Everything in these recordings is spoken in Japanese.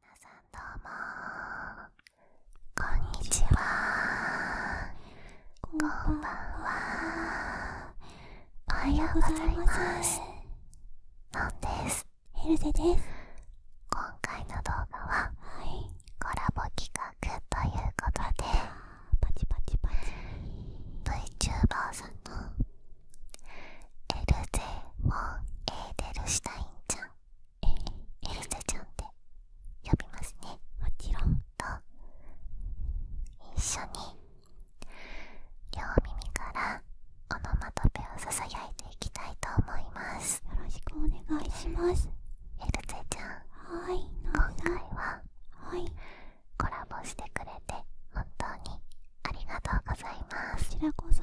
皆さんどうもこんにちはこんばんはおはようございますのんですヘルゼです今回の動画は、コラボ企画ということでパチパチパチ VTuber さんのエルゼ・フエーデルシュタインちゃんエルサちゃんって呼びますねもちろんと一緒に両耳からオノマトペをささやいていきたいと思いますよろしくお願いしますエルゼちゃん今回はコラボしてくれて本当にありがとうございますこちらこそ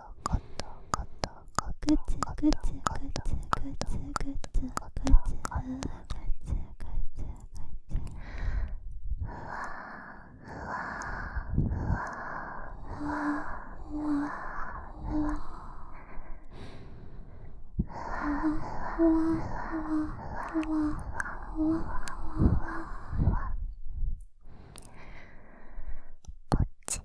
こっち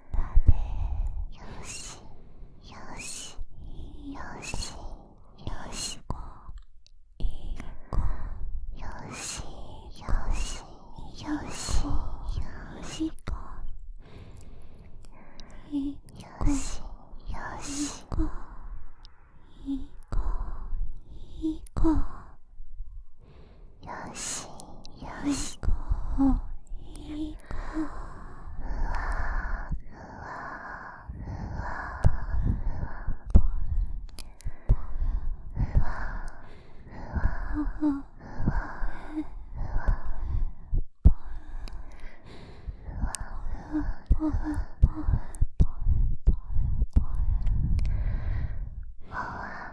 よしよしよしよしこいこよしよしよしよしこいよしよしこいこいこよしよしこいいこふわふわふわふわふわふわふわわ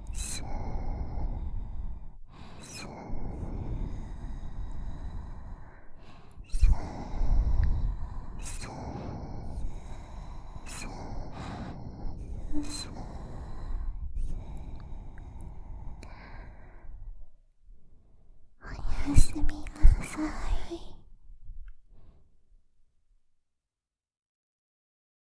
スースースースースースーおやすみなさい。